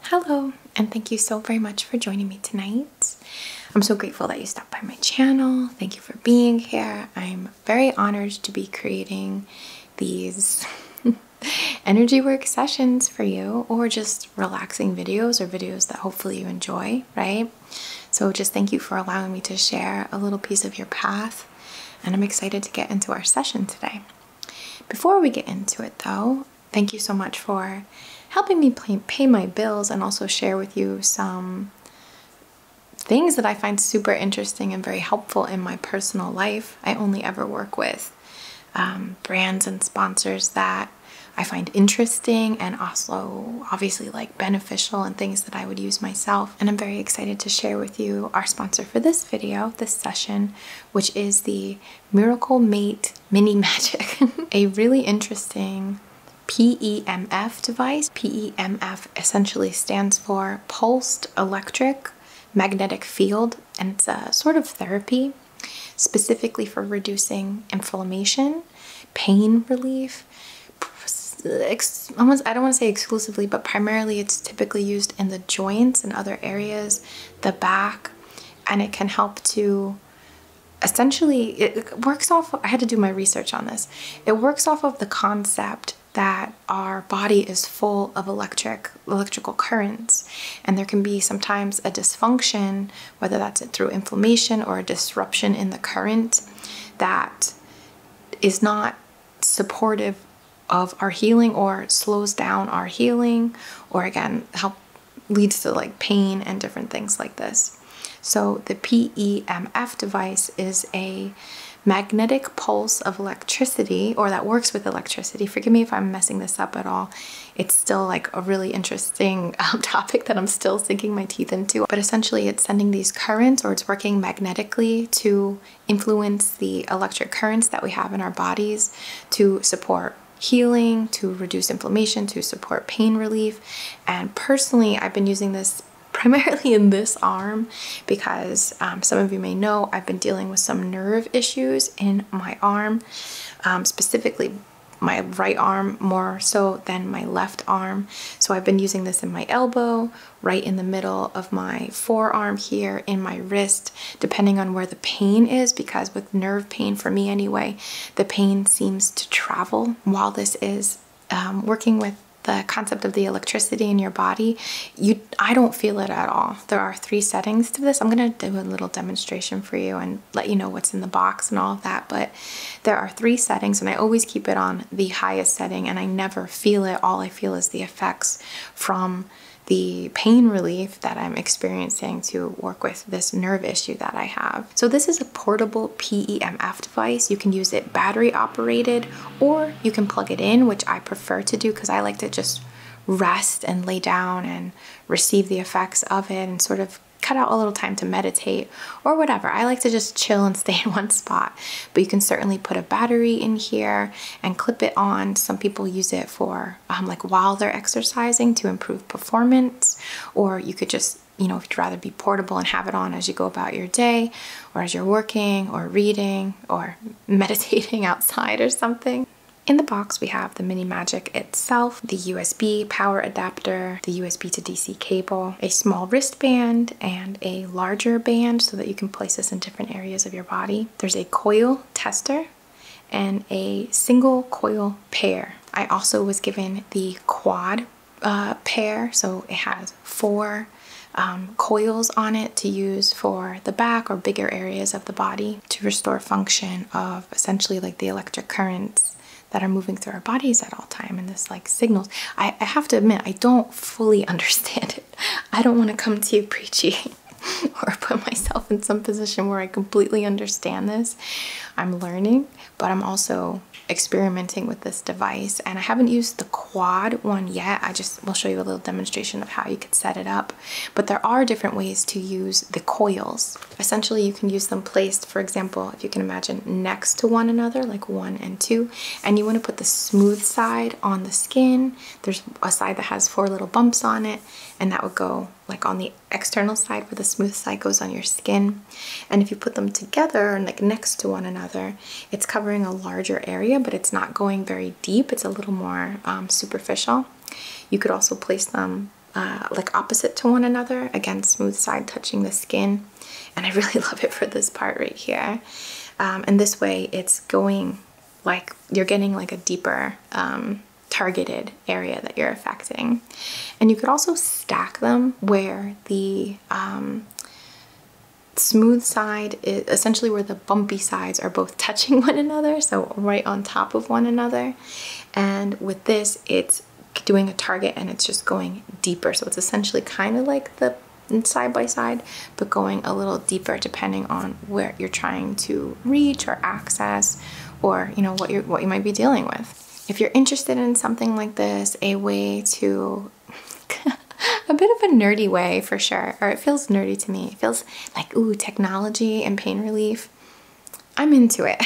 Hello, and thank you so very much for joining me tonight. I'm so grateful that you stopped by my channel. Thank you for being here. I'm very honored to be creating these energy work sessions for you, or just relaxing videos or videos that hopefully you enjoy, right? So, just thank you for allowing me to share a little piece of your path, and I'm excited to get into our session today. Before we get into it, though, thank you so much for helping me pay my bills and also share with you some things that I find super interesting and very helpful in my personal life. I only ever work with um, brands and sponsors that I find interesting and also obviously like beneficial and things that I would use myself. And I'm very excited to share with you our sponsor for this video, this session, which is the Miracle Mate Mini Magic, a really interesting PEMF device. PEMF essentially stands for Pulsed Electric Magnetic Field, and it's a sort of therapy specifically for reducing inflammation, pain relief. Almost, I don't want to say exclusively, but primarily it's typically used in the joints and other areas, the back, and it can help to essentially it works off I had to do my research on this. It works off of the concept that our body is full of electric electrical currents and there can be sometimes a dysfunction whether that's through inflammation or a disruption in the current that is not supportive of our healing or slows down our healing or again help leads to like pain and different things like this. So the PEMF device is a magnetic pulse of electricity or that works with electricity. Forgive me if I'm messing this up at all. It's still like a really interesting um, topic that I'm still sinking my teeth into. But essentially it's sending these currents or it's working magnetically to influence the electric currents that we have in our bodies to support healing, to reduce inflammation, to support pain relief. And personally, I've been using this primarily in this arm because um, some of you may know I've been dealing with some nerve issues in my arm, um, specifically my right arm more so than my left arm. So I've been using this in my elbow, right in the middle of my forearm here, in my wrist, depending on where the pain is because with nerve pain, for me anyway, the pain seems to travel while this is um, working with the concept of the electricity in your body, you I don't feel it at all. There are three settings to this. I'm going to do a little demonstration for you and let you know what's in the box and all of that, but there are three settings and I always keep it on the highest setting and I never feel it. All I feel is the effects from the pain relief that I'm experiencing to work with this nerve issue that I have. So this is a portable PEMF device. You can use it battery operated or you can plug it in, which I prefer to do because I like to just rest and lay down and receive the effects of it and sort of cut out a little time to meditate or whatever. I like to just chill and stay in one spot, but you can certainly put a battery in here and clip it on. Some people use it for um, like while they're exercising to improve performance, or you could just you know, if you'd rather be portable and have it on as you go about your day, or as you're working, or reading, or meditating outside or something. In the box, we have the Mini Magic itself, the USB power adapter, the USB to DC cable, a small wristband, and a larger band so that you can place this in different areas of your body. There's a coil tester and a single coil pair. I also was given the quad uh, pair, so it has four um, coils on it to use for the back or bigger areas of the body to restore function of essentially like the electric currents that are moving through our bodies at all time and this like signals. I, I have to admit, I don't fully understand it. I don't want to come to you preachy. or put myself in some position where I completely understand this. I'm learning, but I'm also experimenting with this device and I haven't used the quad one yet. I just will show you a little demonstration of how you could set it up. But there are different ways to use the coils. Essentially, you can use them placed, for example, if you can imagine next to one another, like one and two, and you want to put the smooth side on the skin. There's a side that has four little bumps on it, and that would go like on the external side where the smooth side goes on your skin and if you put them together and like next to one another it's covering a larger area but it's not going very deep it's a little more um, superficial you could also place them uh, like opposite to one another again smooth side touching the skin and I really love it for this part right here um, and this way it's going like you're getting like a deeper um, targeted area that you're affecting. And you could also stack them where the um, smooth side is essentially where the bumpy sides are both touching one another, so right on top of one another. And with this, it's doing a target and it's just going deeper. So it's essentially kind of like the side by side, but going a little deeper depending on where you're trying to reach or access or you know what you what you might be dealing with. If you're interested in something like this, a way to a bit of a nerdy way for sure, or it feels nerdy to me. It feels like ooh, technology and pain relief. I'm into it.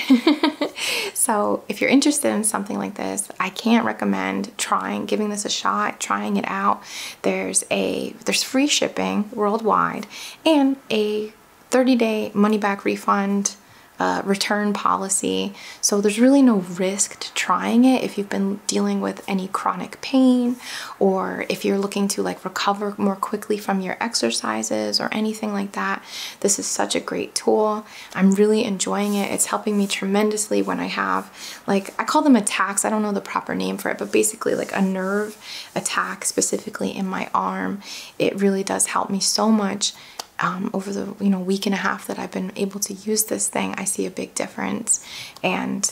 so, if you're interested in something like this, I can't recommend trying giving this a shot, trying it out. There's a there's free shipping worldwide and a 30 day money back refund uh, return policy. So there's really no risk to trying it if you've been dealing with any chronic pain or if you're looking to like recover more quickly from your exercises or anything like that. This is such a great tool. I'm really enjoying it. It's helping me tremendously when I have like, I call them attacks. I don't know the proper name for it, but basically like a nerve attack specifically in my arm it really does help me so much. Um, over the you know week and a half that I've been able to use this thing, I see a big difference, and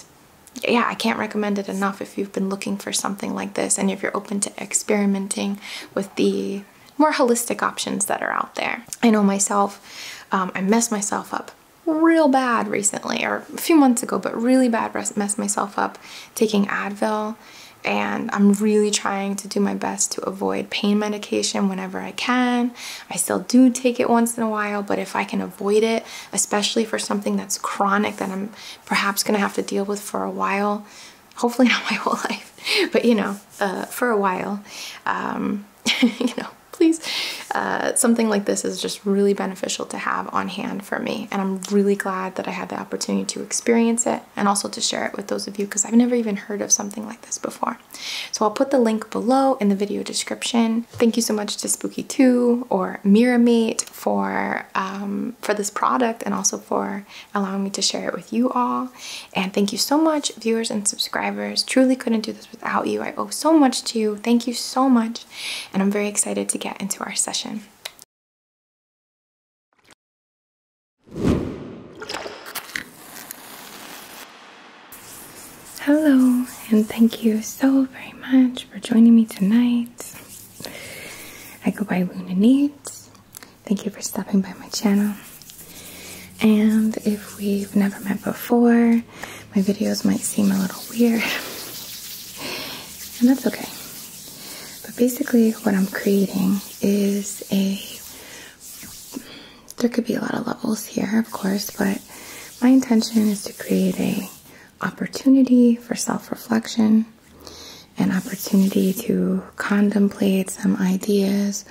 yeah, I can't recommend it enough if you've been looking for something like this and if you're open to experimenting with the more holistic options that are out there. I know myself, um, I messed myself up real bad recently, or a few months ago, but really bad messed myself up taking Advil and I'm really trying to do my best to avoid pain medication whenever I can. I still do take it once in a while, but if I can avoid it, especially for something that's chronic that I'm perhaps gonna have to deal with for a while, hopefully not my whole life, but you know, uh, for a while, um, you know, please. Uh, something like this is just really beneficial to have on hand for me. And I'm really glad that I had the opportunity to experience it and also to share it with those of you because I've never even heard of something like this before. So I'll put the link below in the video description. Thank you so much to Spooky2 or Miramate for, um, for this product and also for allowing me to share it with you all. And thank you so much viewers and subscribers. Truly couldn't do this without you. I owe so much to you. Thank you so much. And I'm very excited to get into our session. Hello, and thank you so very much for joining me tonight. I go by Luna Needs. Thank you for stopping by my channel. And if we've never met before, my videos might seem a little weird, and that's okay. But basically, what I'm creating is a. There could be a lot of levels here, of course, but my intention is to create a opportunity for self-reflection, an opportunity to contemplate some ideas,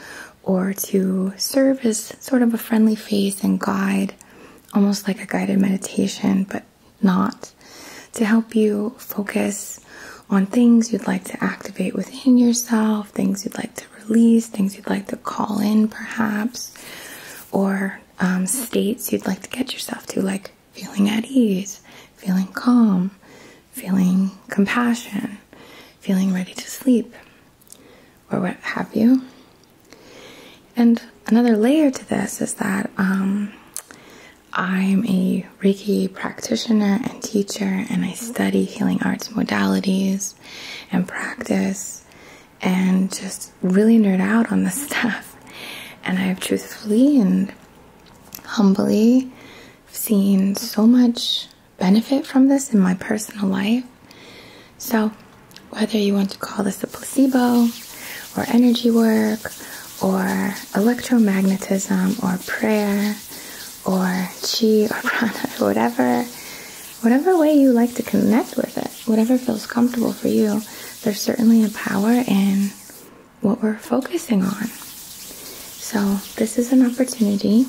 or to serve as sort of a friendly face and guide, almost like a guided meditation, but not to help you focus on things you'd like to activate within yourself, things you'd like to release, things you'd like to call in, perhaps, or um, states you'd like to get yourself to, like feeling at ease, feeling calm, feeling compassion, feeling ready to sleep, or what have you. And another layer to this is that um, I'm a Reiki practitioner and teacher, and I study healing arts modalities and practice and just really nerd out on this stuff. And I've truthfully and humbly seen so much benefit from this in my personal life. So, whether you want to call this a placebo or energy work or electromagnetism or prayer or chi or prana or whatever whatever way you like to connect with it whatever feels comfortable for you there's certainly a power in what we're focusing on so this is an opportunity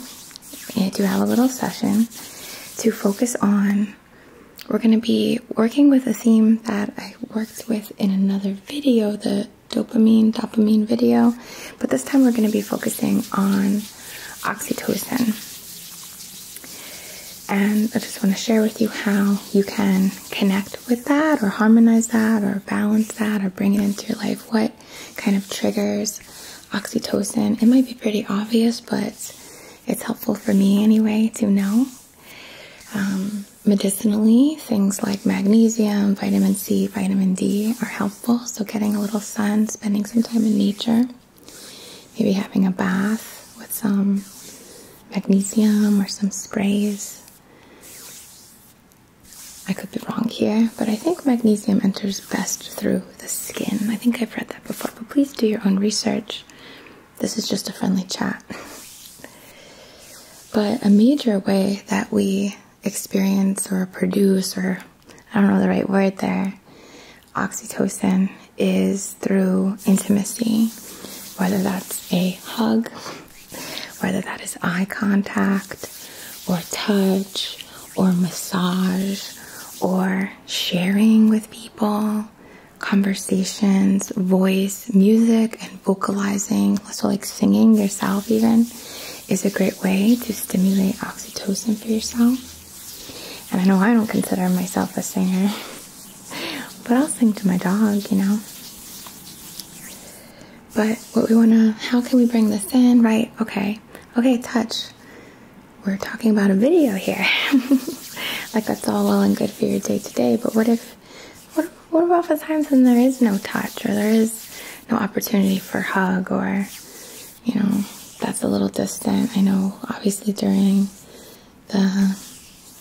to have a little session to focus on we're going to be working with a theme that i worked with in another video the dopamine, dopamine video, but this time we're going to be focusing on oxytocin. And I just want to share with you how you can connect with that, or harmonize that, or balance that, or bring it into your life. What kind of triggers oxytocin? It might be pretty obvious, but it's helpful for me anyway to know. Um, medicinally, things like magnesium, vitamin C, vitamin D are helpful. So, getting a little sun, spending some time in nature, maybe having a bath with some magnesium or some sprays. I could be wrong here, but I think magnesium enters best through the skin. I think I've read that before, but please do your own research. This is just a friendly chat. But a major way that we experience or produce, or I don't know the right word there, oxytocin is through intimacy, whether that's a hug, whether that is eye contact, or touch, or massage, or sharing with people, conversations, voice, music, and vocalizing so like singing yourself even is a great way to stimulate oxytocin for yourself. And I know I don't consider myself a singer, but I'll sing to my dog, you know. But what we want to, how can we bring this in? Right, okay. Okay, touch. We're talking about a video here. like that's all well and good for your day to day, but what if what, about the times when there is no touch or there is no opportunity for hug or, you know, that's a little distant? I know obviously during the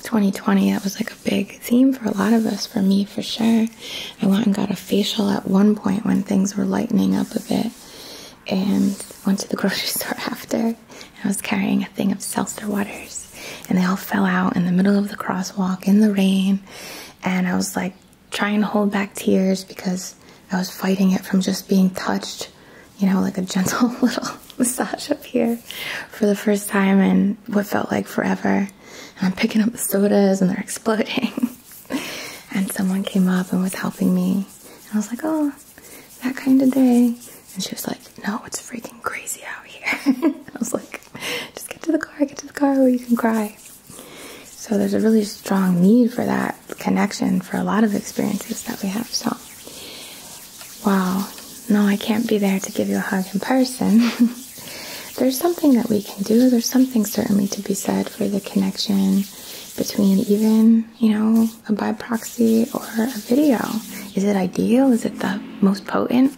2020 that was like a big theme for a lot of us, for me for sure. I went and got a facial at one point when things were lightening up a bit and went to the grocery store after. I was carrying a thing of seltzer waters and they all fell out in the middle of the crosswalk in the rain. And I was like trying to hold back tears because I was fighting it from just being touched, you know, like a gentle little massage up here for the first time in what felt like forever. And I'm picking up the sodas and they're exploding. and someone came up and was helping me. And I was like, oh, that kind of day. And she was like, no, it's freaking crazy out here. I was like, just get to the car, get to the car where you can cry. So there's a really strong need for that connection for a lot of experiences that we have. So, wow, no, I can't be there to give you a hug in person. there's something that we can do. There's something certainly to be said for the connection between even, you know, a by proxy or a video. Is it ideal? Is it the most potent?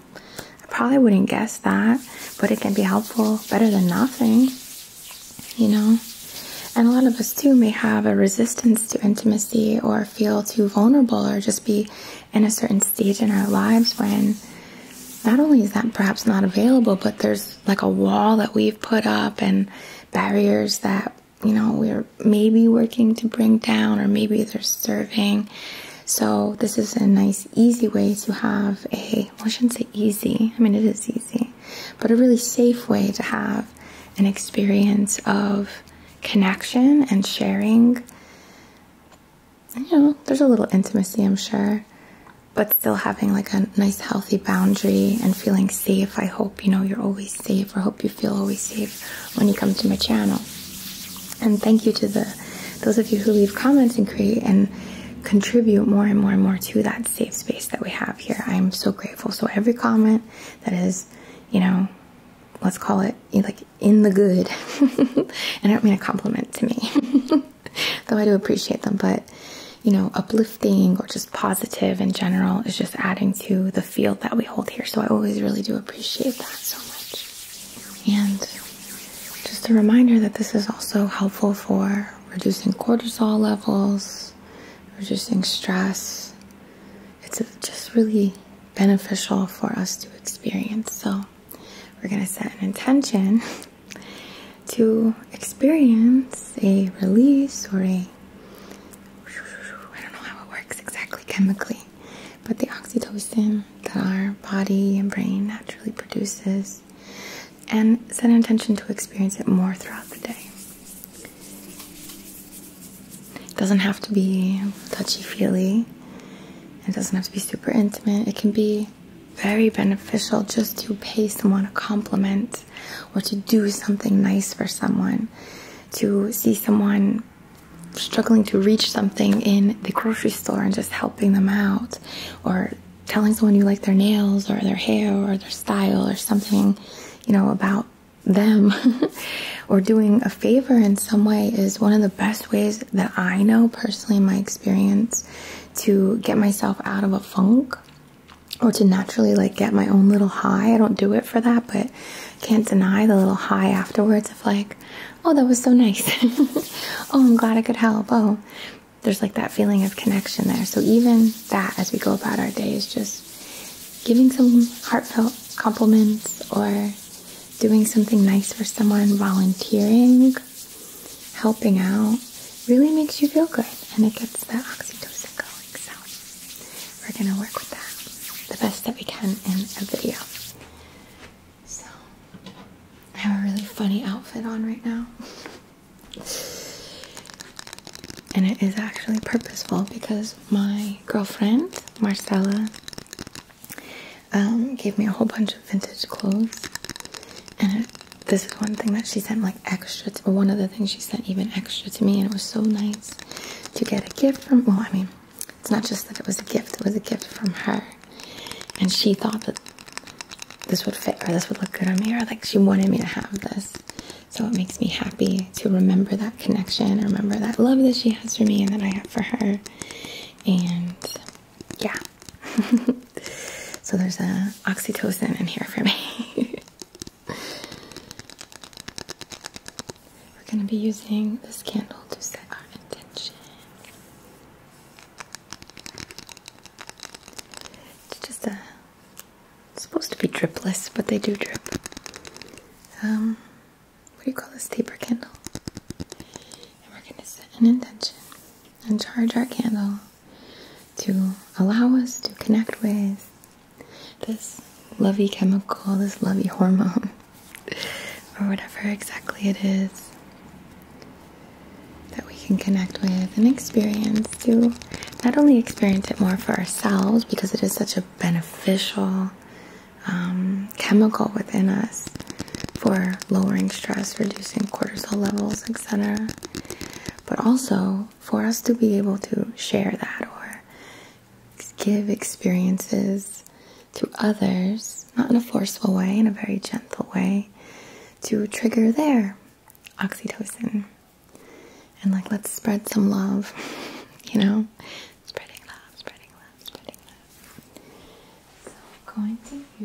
I probably wouldn't guess that, but it can be helpful better than nothing, you know. And a lot of us too may have a resistance to intimacy or feel too vulnerable or just be in a certain stage in our lives when not only is that perhaps not available, but there's like a wall that we've put up and barriers that you know we're maybe working to bring down or maybe they're serving. So, this is a nice, easy way to have a well I shouldn't say easy I mean it is easy but a really safe way to have an experience of connection and sharing you know there's a little intimacy I'm sure but still having like a nice healthy boundary and feeling safe I hope you know you're always safe or hope you feel always safe when you come to my channel and thank you to the those of you who leave comments and create and contribute more and more and more to that safe space that we have here. I am so grateful. So every comment that is, you know, let's call it like in the good. and I don't mean a compliment to me. Though I do appreciate them, but you know, uplifting or just positive in general is just adding to the field that we hold here. So I always really do appreciate that so much. And just a reminder that this is also helpful for reducing cortisol levels, reducing stress. It's just really beneficial for us to experience. So, we're going to set an intention to experience a release or a I don't know how it works exactly chemically, but the oxytocin that our body and brain naturally produces and set an intention to experience it more throughout the day. It doesn't have to be touchy feely, it doesn't have to be super intimate. It can be very beneficial just to pay someone a compliment or to do something nice for someone, to see someone struggling to reach something in the grocery store and just helping them out, or telling someone you like their nails or their hair or their style or something, you know, about them or doing a favor in some way is one of the best ways that I know personally in my experience to get myself out of a funk or to naturally like get my own little high. I don't do it for that, but can't deny the little high afterwards of like, oh, that was so nice. oh, I'm glad I could help. Oh, there's like that feeling of connection there. So even that, as we go about our days, just giving some heartfelt compliments or doing something nice for someone, volunteering, helping out, really makes you feel good and it gets that oxytocin going. So we're gonna work with that the best that we can in a video. So, I have a really funny outfit on right now. And it is actually purposeful because my girlfriend, Marcella, um, gave me a whole bunch of vintage clothes. And this is one thing that she sent like extra one of the things she sent even extra to me. And it was so nice to get a gift from, well, I mean, it's not just that it was a gift, it was a gift from her and she thought that this would fit or this would look good on me, or like she wanted me to have this. So it makes me happy to remember that connection, remember that love that she has for me and that I have for her. And yeah. so there's a oxytocin in here for me. We're going to be using this candle to set our intention. It's just supposed to be dripless, but they do drip. Um, what do you call this taper candle? And we're gonna set an intention and charge our candle to allow us to connect with this lovey chemical, this lovey hormone, or whatever exactly it is that we can connect with and experience to not only experience it more for ourselves because it is such a beneficial um, chemical within us for lowering stress, reducing cortisol levels, etc., but also for us to be able to share that or give experiences to others not in a forceful way, in a very gentle way, to trigger their oxytocin. And like, let's spread some love, you know? Spreading love, spreading love, spreading love. So I'm going to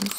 use these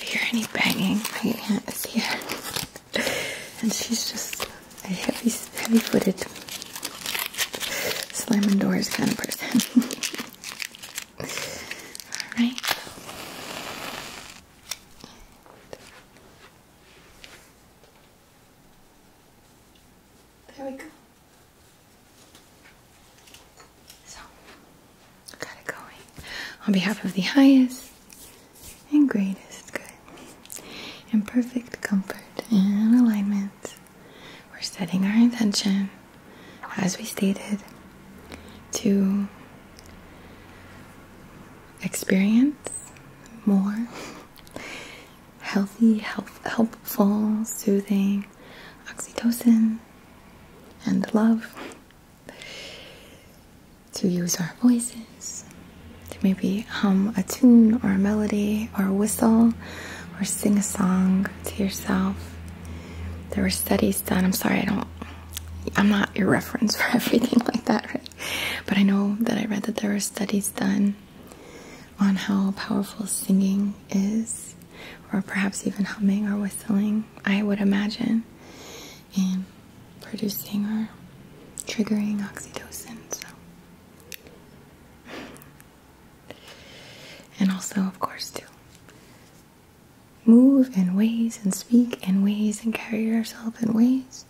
hear any banging, my aunt is here. and she's just a heavy, heavy-footed, slamming doors kind of person. Alright. There we go. So, got it going. On behalf of the highest and greatest good, and perfect comfort and alignment, we're setting our intention, as we stated, to experience more healthy, help, helpful, soothing oxytocin and love to use our voices, to maybe hum a tune or a melody or whistle or sing a song to yourself. There were studies done. I'm sorry, I don't, I'm not your reference for everything like that, But I know that I read that there were studies done on how powerful singing is, or perhaps even humming or whistling, I would imagine and producing or triggering oxytocin. So. And also, of course, to move in ways and speak in ways and carry yourself in ways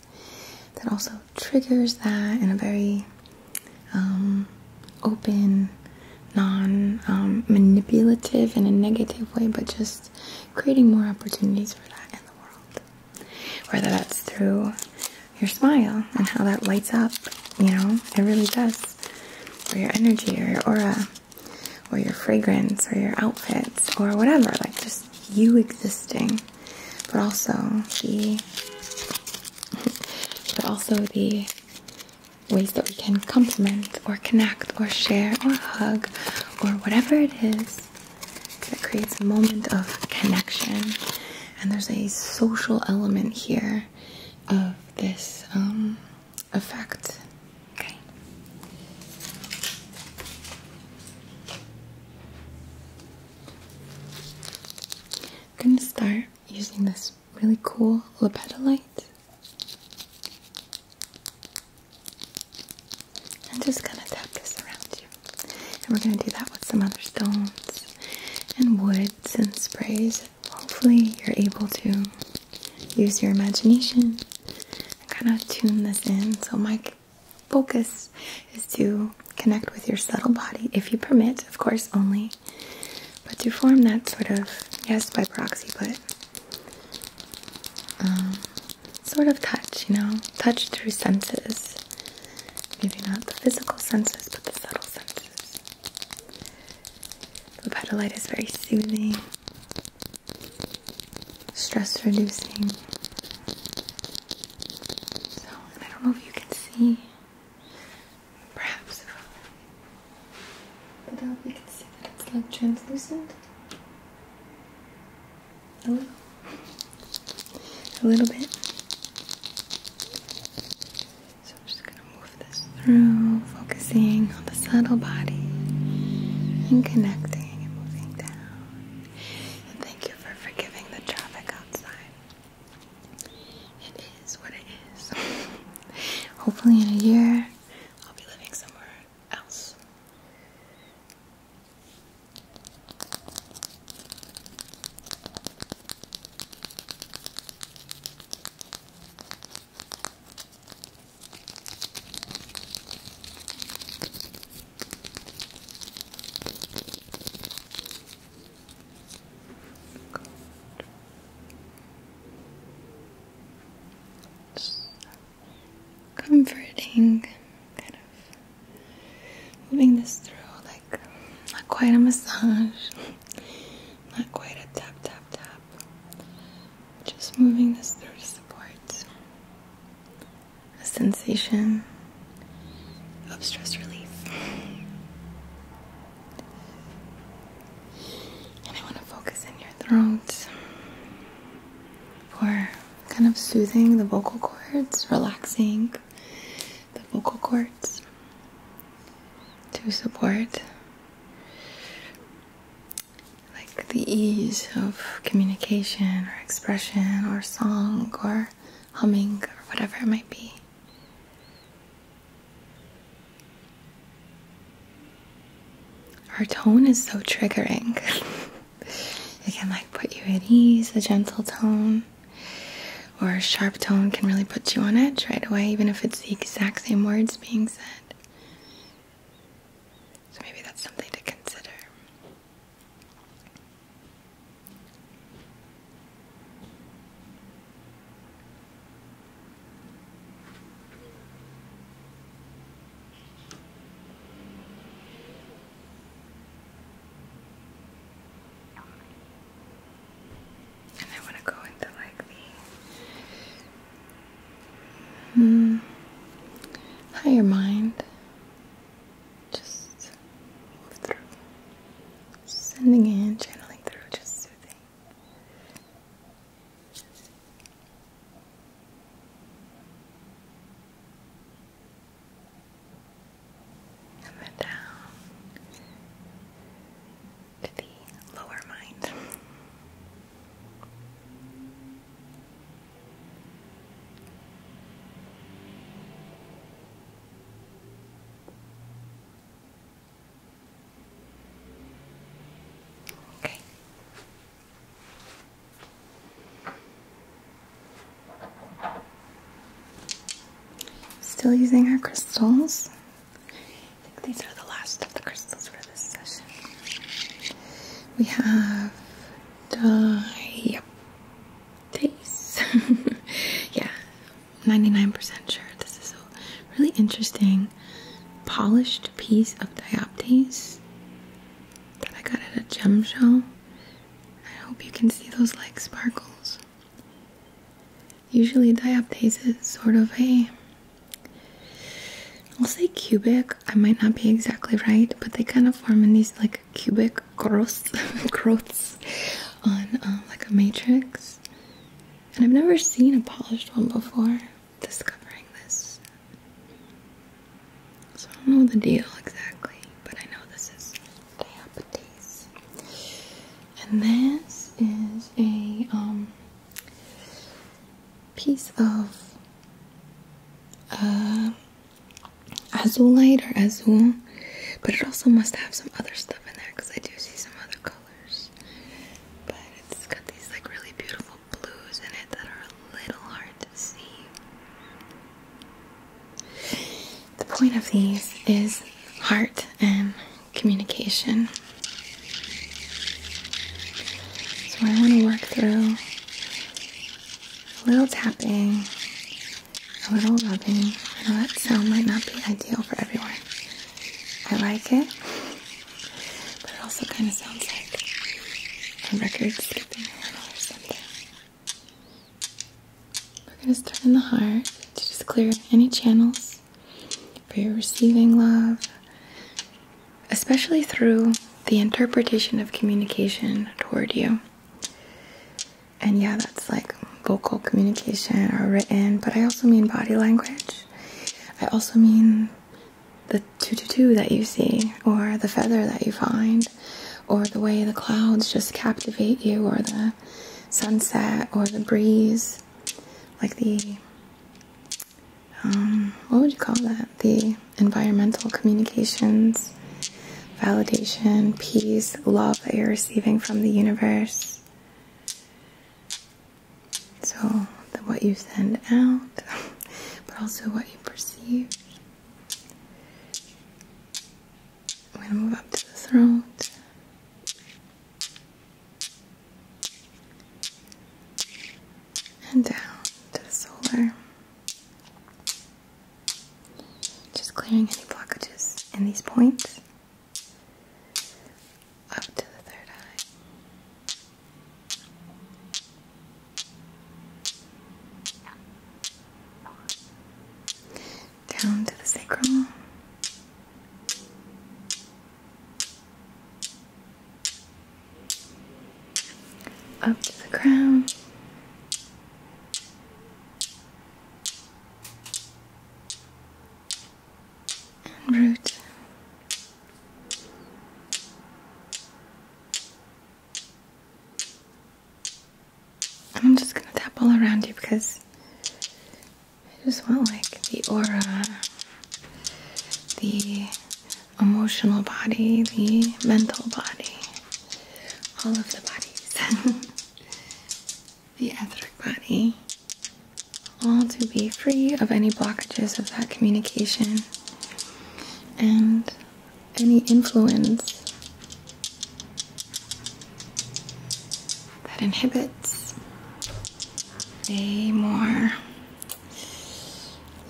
that also triggers that in a very um, open, non um, manipulative, and a negative way, but just creating more opportunities for that in the world. Whether that's through your smile and how that lights up, you know, it really does. Or your energy or your aura or your fragrance or your outfits or whatever, like just you existing. But also the but also the ways that we can compliment or connect or share or hug or whatever it is that creates a moment of connection. And there's a social element here of this um, effect. Okay. I'm going to start using this really cool lapeta light i just gonna tap this around you. And we're gonna do that with some other stones and woods and sprays. Hopefully, you're able to use your imagination and kind of tune this in. So, my focus is to connect with your subtle body, if you permit, of course, only, but to form that sort of yes by proxy, but um, sort of touch, you know, touch through senses. Maybe not the physical senses, but the subtle senses. The petal light is very soothing, stress reducing. So, I don't know if you can see. Perhaps, if, I do you can see that it's like translucent. A little. A little bit. So I'm just going to move this through, focusing on the subtle body and connecting and moving down. And thank you for forgiving the traffic outside. It is what it is. Hopefully, in a year, I'll be living somewhere else comforting, kind of moving this through like not quite a massage, not quite a tap, tap, tap, just moving this through to support a sensation of stress relief. And I want to focus in your throat for kind of soothing the vocal cords, relaxing the vocal cords to support like the ease of communication or expression or song or humming or whatever it might be. Her tone is so triggering. it can like put you at ease, a gentle tone. Or a sharp tone can really put you on edge right away, even if it's the exact same words being said. So maybe that's something to consider. And I want to go into like the hmm, higher mind. Just move through. Sending in, channeling through, just soothing. And then down to the lower mind. Okay. Still using our crystals. I think these are the last of the crystals for this session. We have diapace. yeah, 99% sure. This is a really interesting polished piece of dioptase that I got at a gem show. I hope you can see those like sparkles. Usually diaptase is sort of a I'll say cubic. I might not be exactly right, but they kind of form in these like cubic growths, on uh, like a matrix. And I've never seen a polished one before discovering this. So I don't know the deal exactly, but I know this is diabetes. And this is a um piece of uh azulite or azul, but it also must have some other stuff in there because I do see some other colors. But it's got these like really beautiful blues in it that are a little hard to see. The point of these is heart and communication. So I want to work through a little tapping, a little rubbing. I that sound might not be ideal for everyone. I like it. We're going to start in the heart to just clear any channels for your receiving love, especially through the interpretation of communication toward you. And yeah, that's like vocal communication or written, but I also mean body language. I also mean the tutu that you see, or the feather that you find, or the way the clouds just captivate you, or the sunset, or the breeze, like the um, what would you call that? The environmental communications, validation, peace, love that you're receiving from the universe. So, the, what you send out but also what you perceive. I'm going to move up to the throat. And down to the solar. Just clearing any blockages in these points. Up to the third eye. Down to the sacrum. Up to the crown. And root. I'm just gonna tap all around you because I just want like the aura, the emotional body, the mental body, all of the bodies, the etheric body, all to be free of any blockages of that communication and any influence that inhibits any more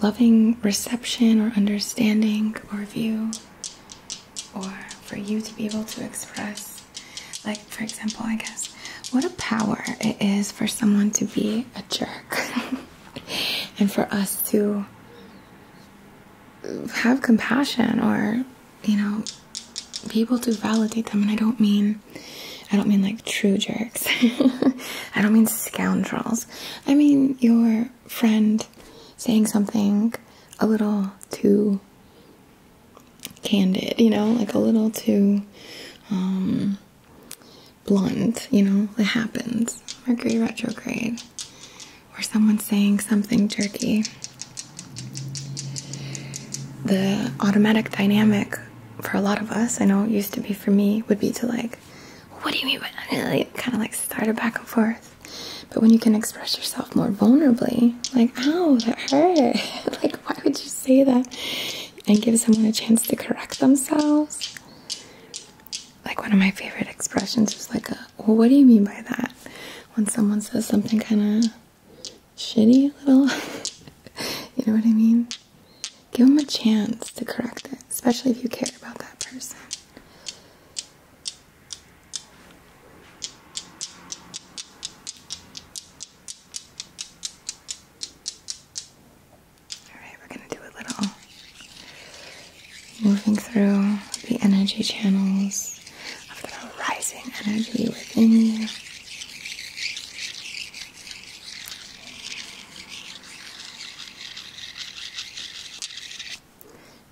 loving reception or understanding or view, or for you to be able to express. Like, for example, I guess, what a power it is for someone to be a jerk. and for us to have compassion or you know be able to validate them and i don't mean i don't mean like true jerks i don't mean scoundrels i mean your friend saying something a little too candid you know like a little too um, blunt, you know, it happens. Mercury retrograde, or someone saying something jerky. The automatic dynamic for a lot of us, I know it used to be for me, would be to like, what do you mean by kind of like start it back and forth. But when you can express yourself more vulnerably, like, ow, that hurt. like, why would you say that? And give someone a chance to correct themselves like one of my favorite expressions is like well, what do you mean by that when someone says something kind of shitty little you know what i mean give them a chance to correct it especially if you care about that person Alright, we're going to do a little moving through the energy channels of the rising energy within you.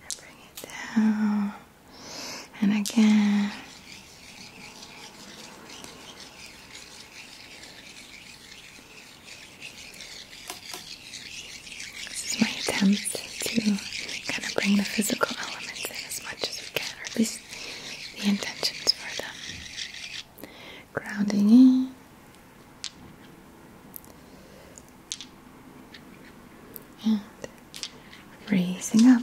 And bring it down. And again. This is my attempt to kind of bring the physical elements in as much as we can, or at least the intentions for them. Grounding in. And raising up.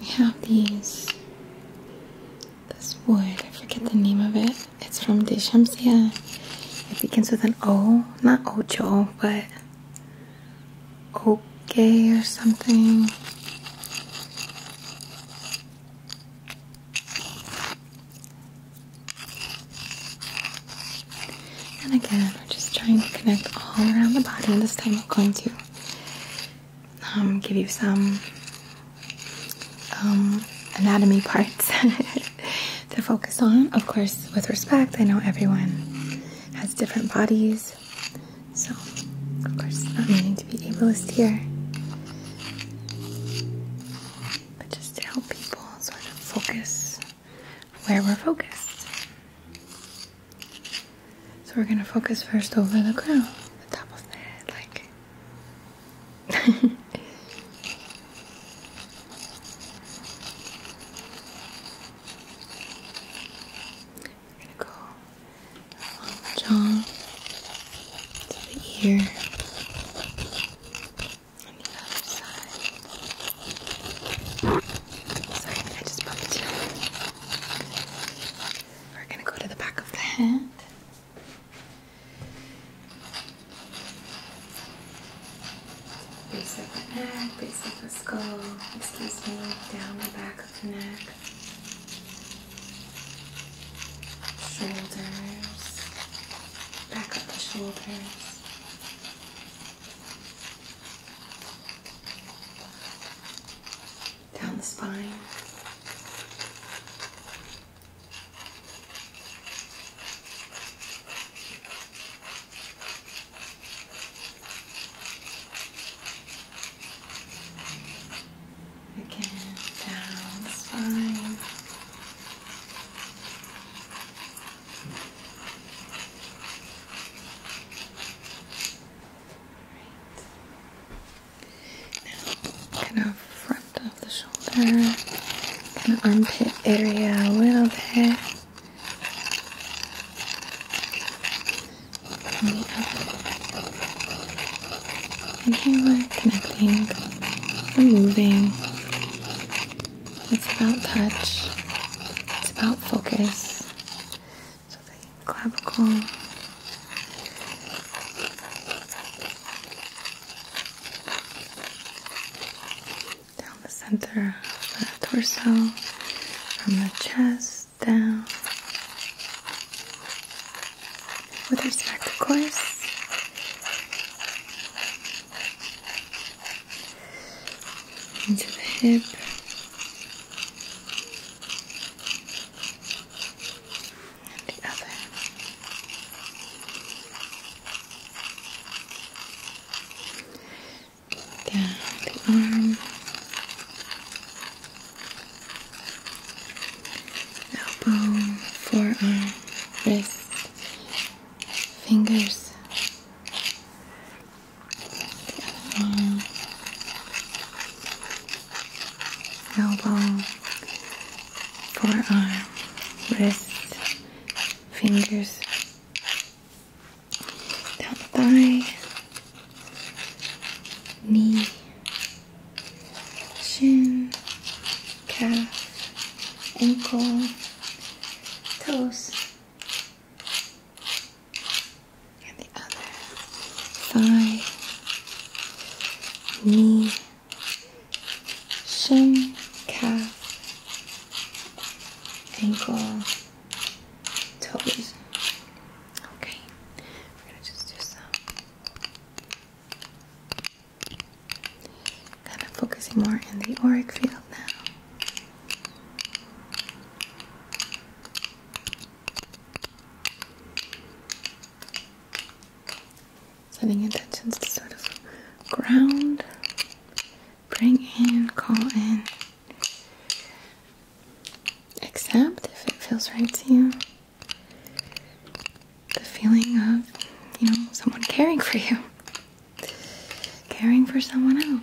we have these this wood I forget the name of it it's from Deshamsia it begins with an O not Ocho but Okay or something and again, we're just trying to connect all around the body, and this time we're going to um, give you some um, anatomy parts to focus on. Of course, with respect, I know everyone has different bodies, so of course, not meaning to be ableist here, but just to help people sort of focus where we're focused. So we're gonna focus first over the crown, the top of the head, like. we go along the jaw, to the ear, on the other side. Sorry, I just bumped you. We're going to go to the back of the hand. Base of the neck, base of the skull, excuse me, down the back of the neck, shoulders, back up the shoulders down the spine. Again, down the spine. Right. Now, kind of front of the shoulder, kind of armpit area a little bit. And the other. And here we're connecting, we're moving. It's about touch, it's about focus. So the clavicle down the center of the torso, from the chest down. With respect, to course, into the hip and the other. Down the arm, elbow, forearm, wrist, fingers, the other arm, elbow, forearm, wrist, fingers, down thigh, knee, shin, calf, ankle, toes and the other thigh, knee, shin, calf, ankle, toes. Okay, we're gonna just do some kind of focusing more in the auric field now. Sending intentions to sort of ground, bring in, call in, accept if it feels right to you. The feeling of, you know, someone caring for you, caring for someone else.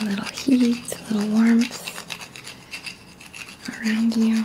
a little heat, a little warmth around you.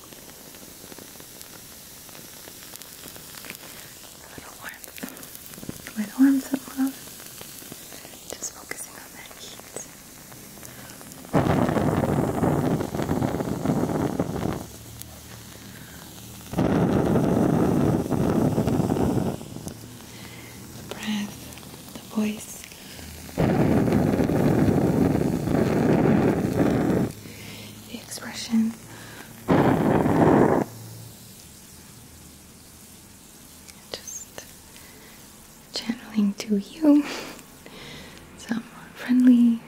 little warmth. little warmth of love. Just focusing on that heat. The breath, the voice. The expression just channeling to you some friendly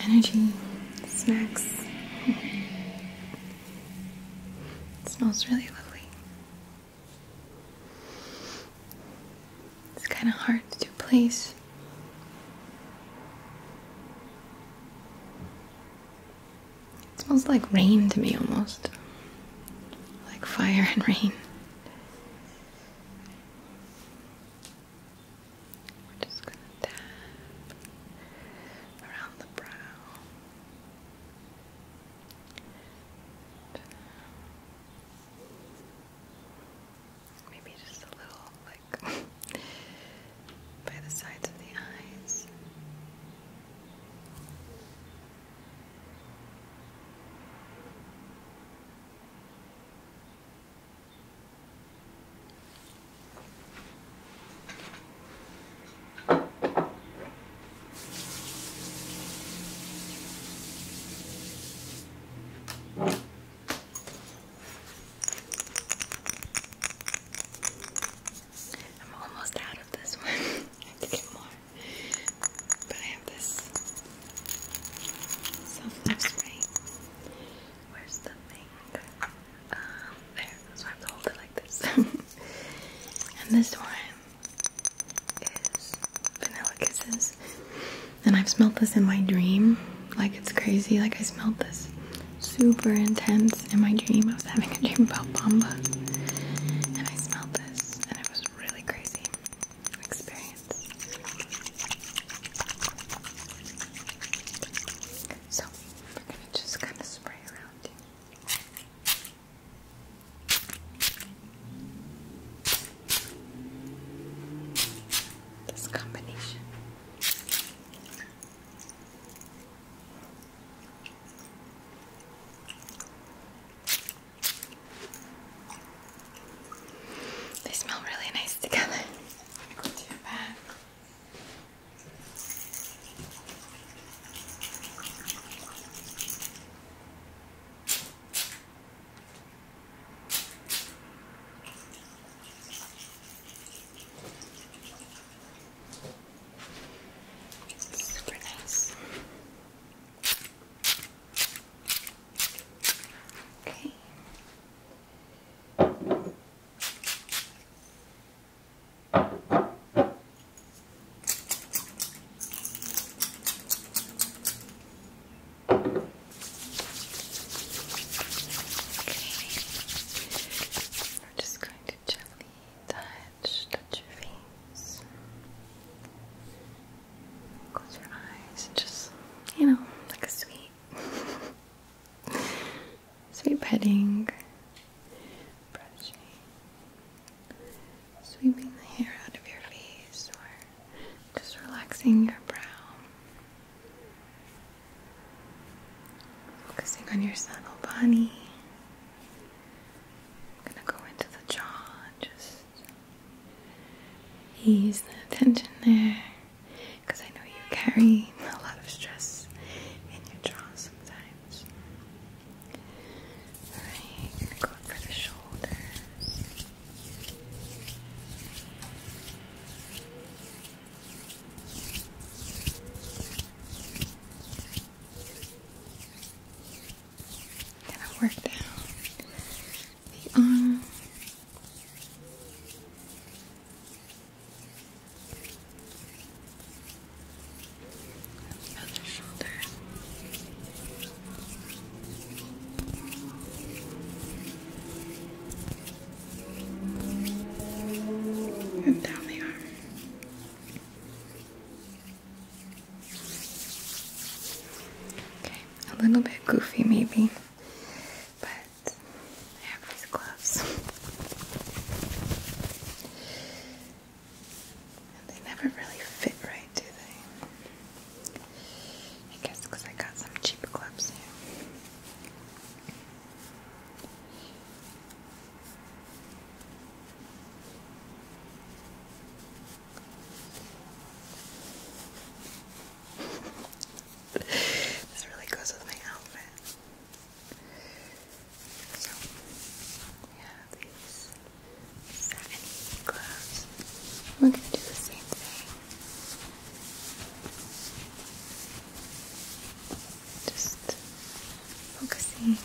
energy snacks. It smells really lovely. It's kind of hard to place it smells like rain to me almost. Like fire and rain. We're just gonna tap around the brow maybe just a little like by the sides of the eyes. I'm almost out of this one. I have to get more. But I have this self-love spray. Where's the thing? Um, there. So I have to hold it like this. and this one is Vanilla Kisses. And I've smelled this in my dream. Like it's crazy. Like I smelled this super intense in my dream. I was having a dream about Bombas and I smelled this and it was really crazy experience. So we're gonna just kind of spray around you. This combination. They smell really nice together. Go to your back. Super nice. Okay. Okay. we just going to gently touch your face. Close your eyes, just, you know, like a sweet, sweet petting, brushing, sweeping the hair out of your face, or just relaxing your brow. Focusing on your subtle body. gonna go into the jaw just ease the tension there. Because I know you carry a lot of stress in your jaw sometimes. Alright, gonna go for the shoulders got I work down the um, Other shoulder and down the arm. Okay, a little bit goofy maybe, but I have these gloves. And they never really fit right, do they? I guess I got some cheap gloves here this really goes with my outfit. we have these satin gloves. We're going to do the same thing. Just focusing on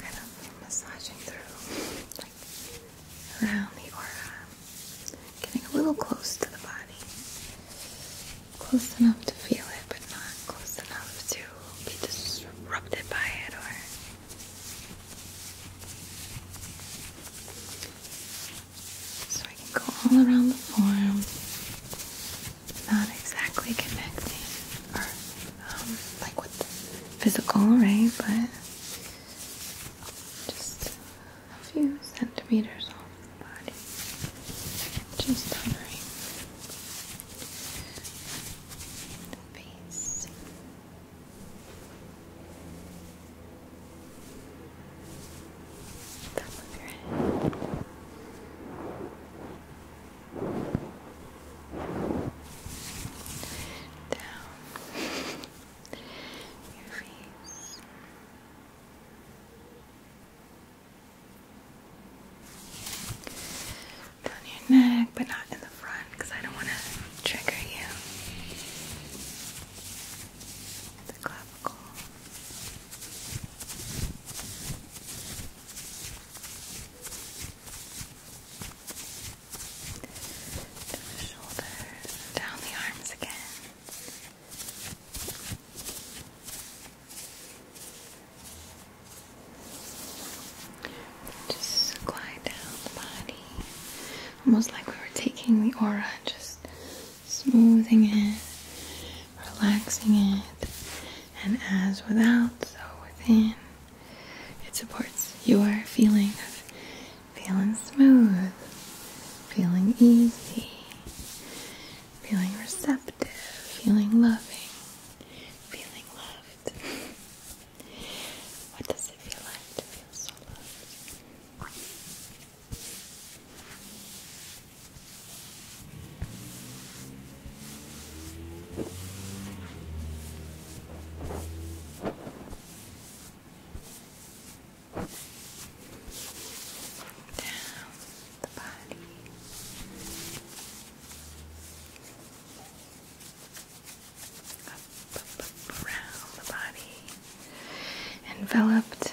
kind of massaging through, like around the aura, getting a little close to the body, close enough to feel it, but not close enough to be disrupted by it or so I can go all around the form, not exactly connecting or um, like with physical right? but just a few centimeters off the body. Just covering the face. Back of your head. Down your face. Down your neck, but not in the front because I don't want to trigger you the clavicle. the shoulders, down the arms again. Just glide down the body, almost like we were taking the aura and just smoothing it, relaxing it, and as without, so within. It supports your feeling of feeling smooth, feeling easy, feeling receptive, feeling loving, feeling loved. what does it feel like to feel so loved? down the body. Up, around the body, enveloped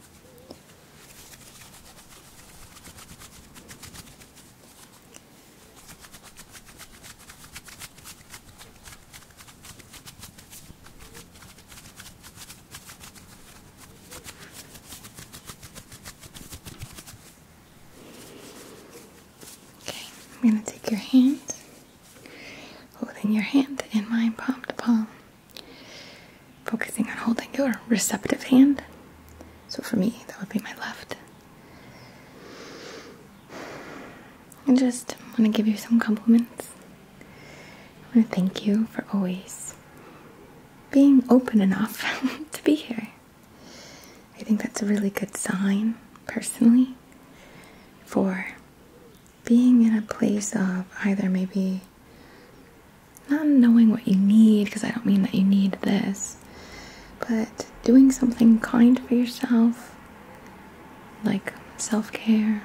Okay, I'm going to take your hand, holding your hand in my palm to palm. Focusing on holding your receptive hand. So for me, that would be my left. I just want to give you some compliments. I want to thank you for always being open enough to be here. I think that's a really good sign, personally, for being in a place of either maybe not knowing what you need, because I don't mean that you need this, but doing something kind for yourself, like self care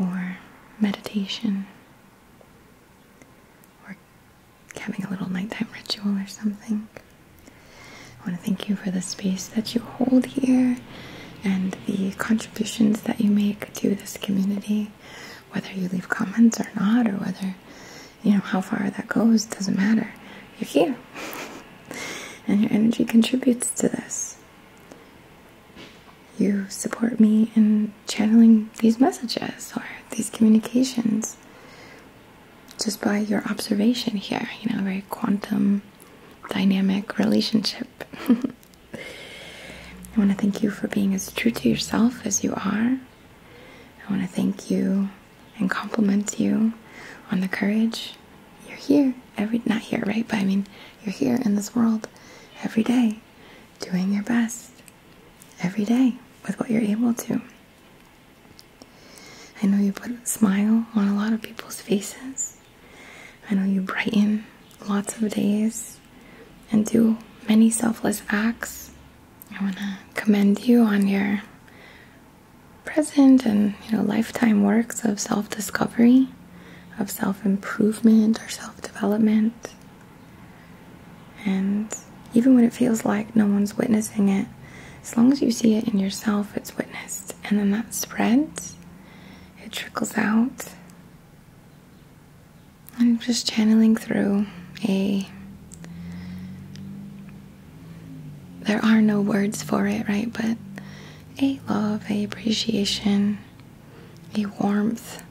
or meditation or having a little nighttime ritual or something. I want to thank you for the space that you hold here and the contributions that you make to this community, whether you leave comments or not, or whether you know how far that goes, doesn't matter. You're here, and your energy contributes to this. You support me in channeling these messages or these communications just by your observation here, you know, very quantum dynamic relationship. I want to thank you for being as true to yourself as you are. I want to thank you and compliment you on the courage. You're here every not here, right? But I mean, you're here in this world every day doing your best every day with what you're able to. I know you put a smile on a lot of people's faces. I know you brighten lots of days and do many selfless acts. I want to commend you on your present and you know lifetime works of self-discovery, of self-improvement or self-development. And even when it feels like no one's witnessing it, as long as you see it in yourself, it's witnessed. And then that spreads, it trickles out, I'm just channeling through a. There are no words for it, right? But a love, a appreciation, a warmth.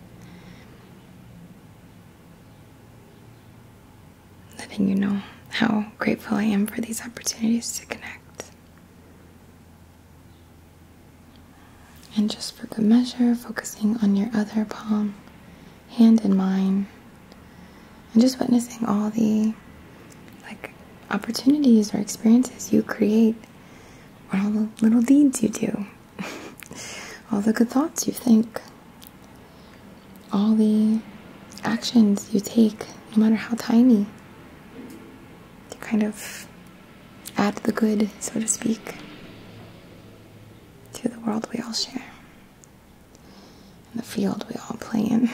Letting you know how grateful I am for these opportunities to connect. And just for good measure, focusing on your other palm, hand in mine, and just witnessing all the like opportunities or experiences you create, or all the little deeds you do, all the good thoughts you think, all the actions you take, no matter how tiny, to kind of add the good, so to speak, through the world we all share in the field we all play in.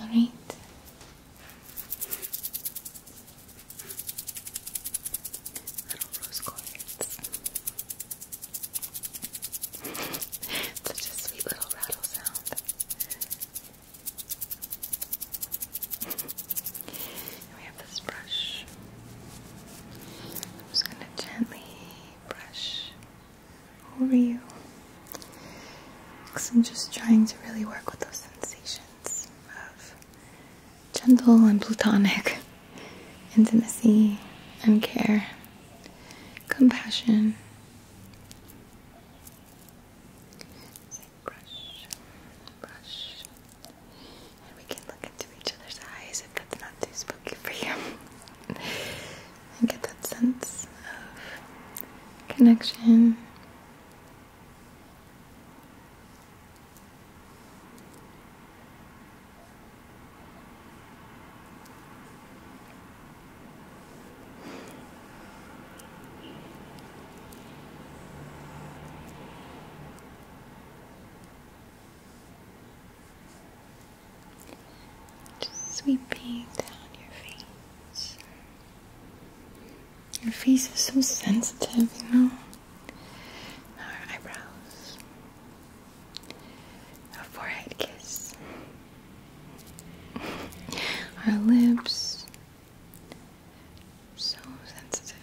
All right. Little rose quartz. Such a sweet little rattle sound we have this brush. I'm just going to gently brush over you. I'm just trying to really work with those sensations of gentle and platonic intimacy and care, compassion brush, brush. we can look into each other's eyes if that's not too spooky for you. and get that sense of connection. Just sweeping down your face. Your face is so sensitive, you know? Our eyebrows. Our forehead kiss. Our lips. So sensitive.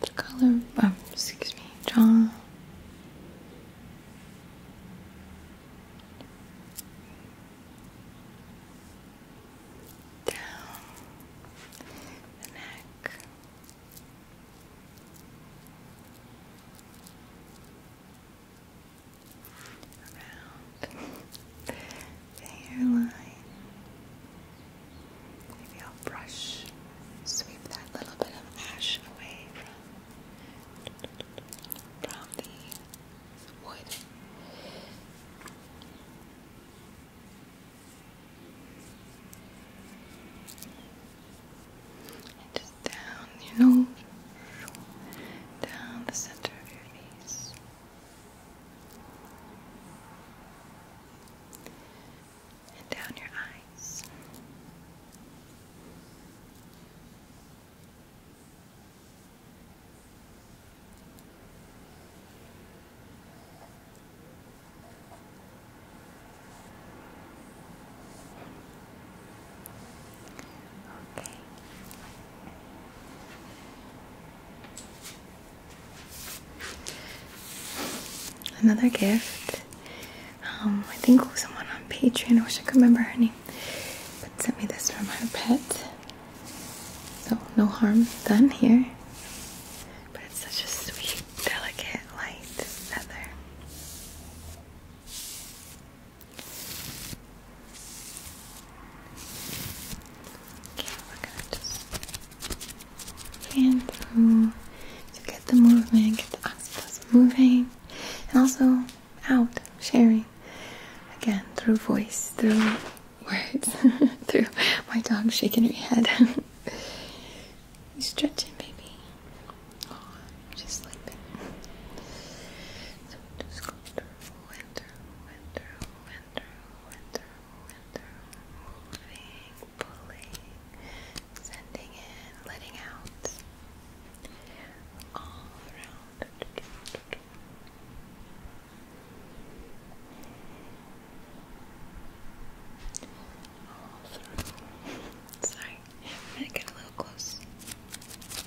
The color, oh, excuse me, jaw. Down the neck around the hairline. Maybe I'll brush, sweep that little bit of ash away from, from the wood. And down your nose, down the center of your face and down your eyes. Another gift. Um, I think was someone on Patreon, I wish I could remember her name, sent me this from her pet. So no harm done here. But it's such a sweet, delicate, light feather. Okay, we're gonna just fan to get the movement, get the octopus moving, and also out, sharing again through voice, through words, through my dog shaking her head. you are stretching, baby. Oh, you're So just go through and and through and through and pulling, sending in, letting out, all around. All through. Sorry, I'm a little close.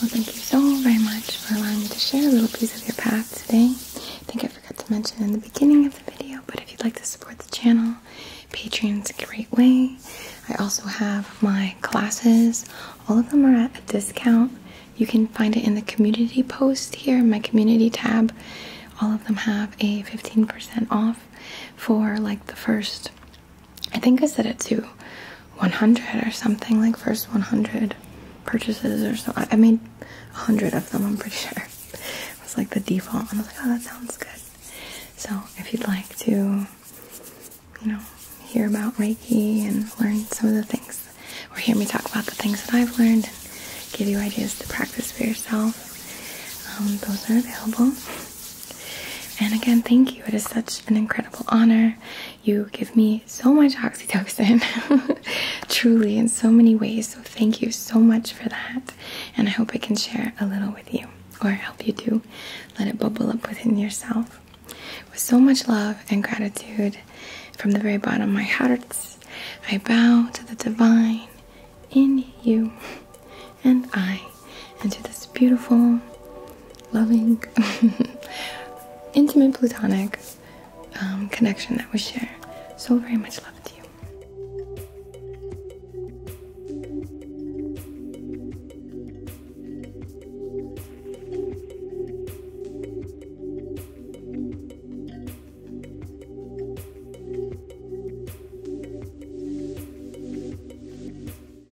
Well, thank you so very much for allowing me to share a little piece of your path today. I think I forgot to mention in the beginning of the video, but if you'd like to support the channel, Patreon's a great way. I also have my classes. All of them are at a discount. You can find it in the community post here, in my community tab. All of them have a 15% off for like the first I think I said it to 100 or something, like first 100 purchases or so. I made 100 of them, I'm pretty sure. It was like the default, I was like, oh, that sounds good. So if you'd like to, you know, hear about Reiki and learn some of the things, or hear me talk about the things that I've learned and give you ideas to practice for yourself, um, those are available. And again, thank you. It is such an incredible honor. You give me so much oxytocin, truly, in so many ways. So, thank you so much for that. And I hope I can share a little with you or help you to let it bubble up within yourself. With so much love and gratitude from the very bottom of my heart, I bow to the divine in you, and I into this beautiful, loving, intimate, platonic um, connection that we share. So very much love to you.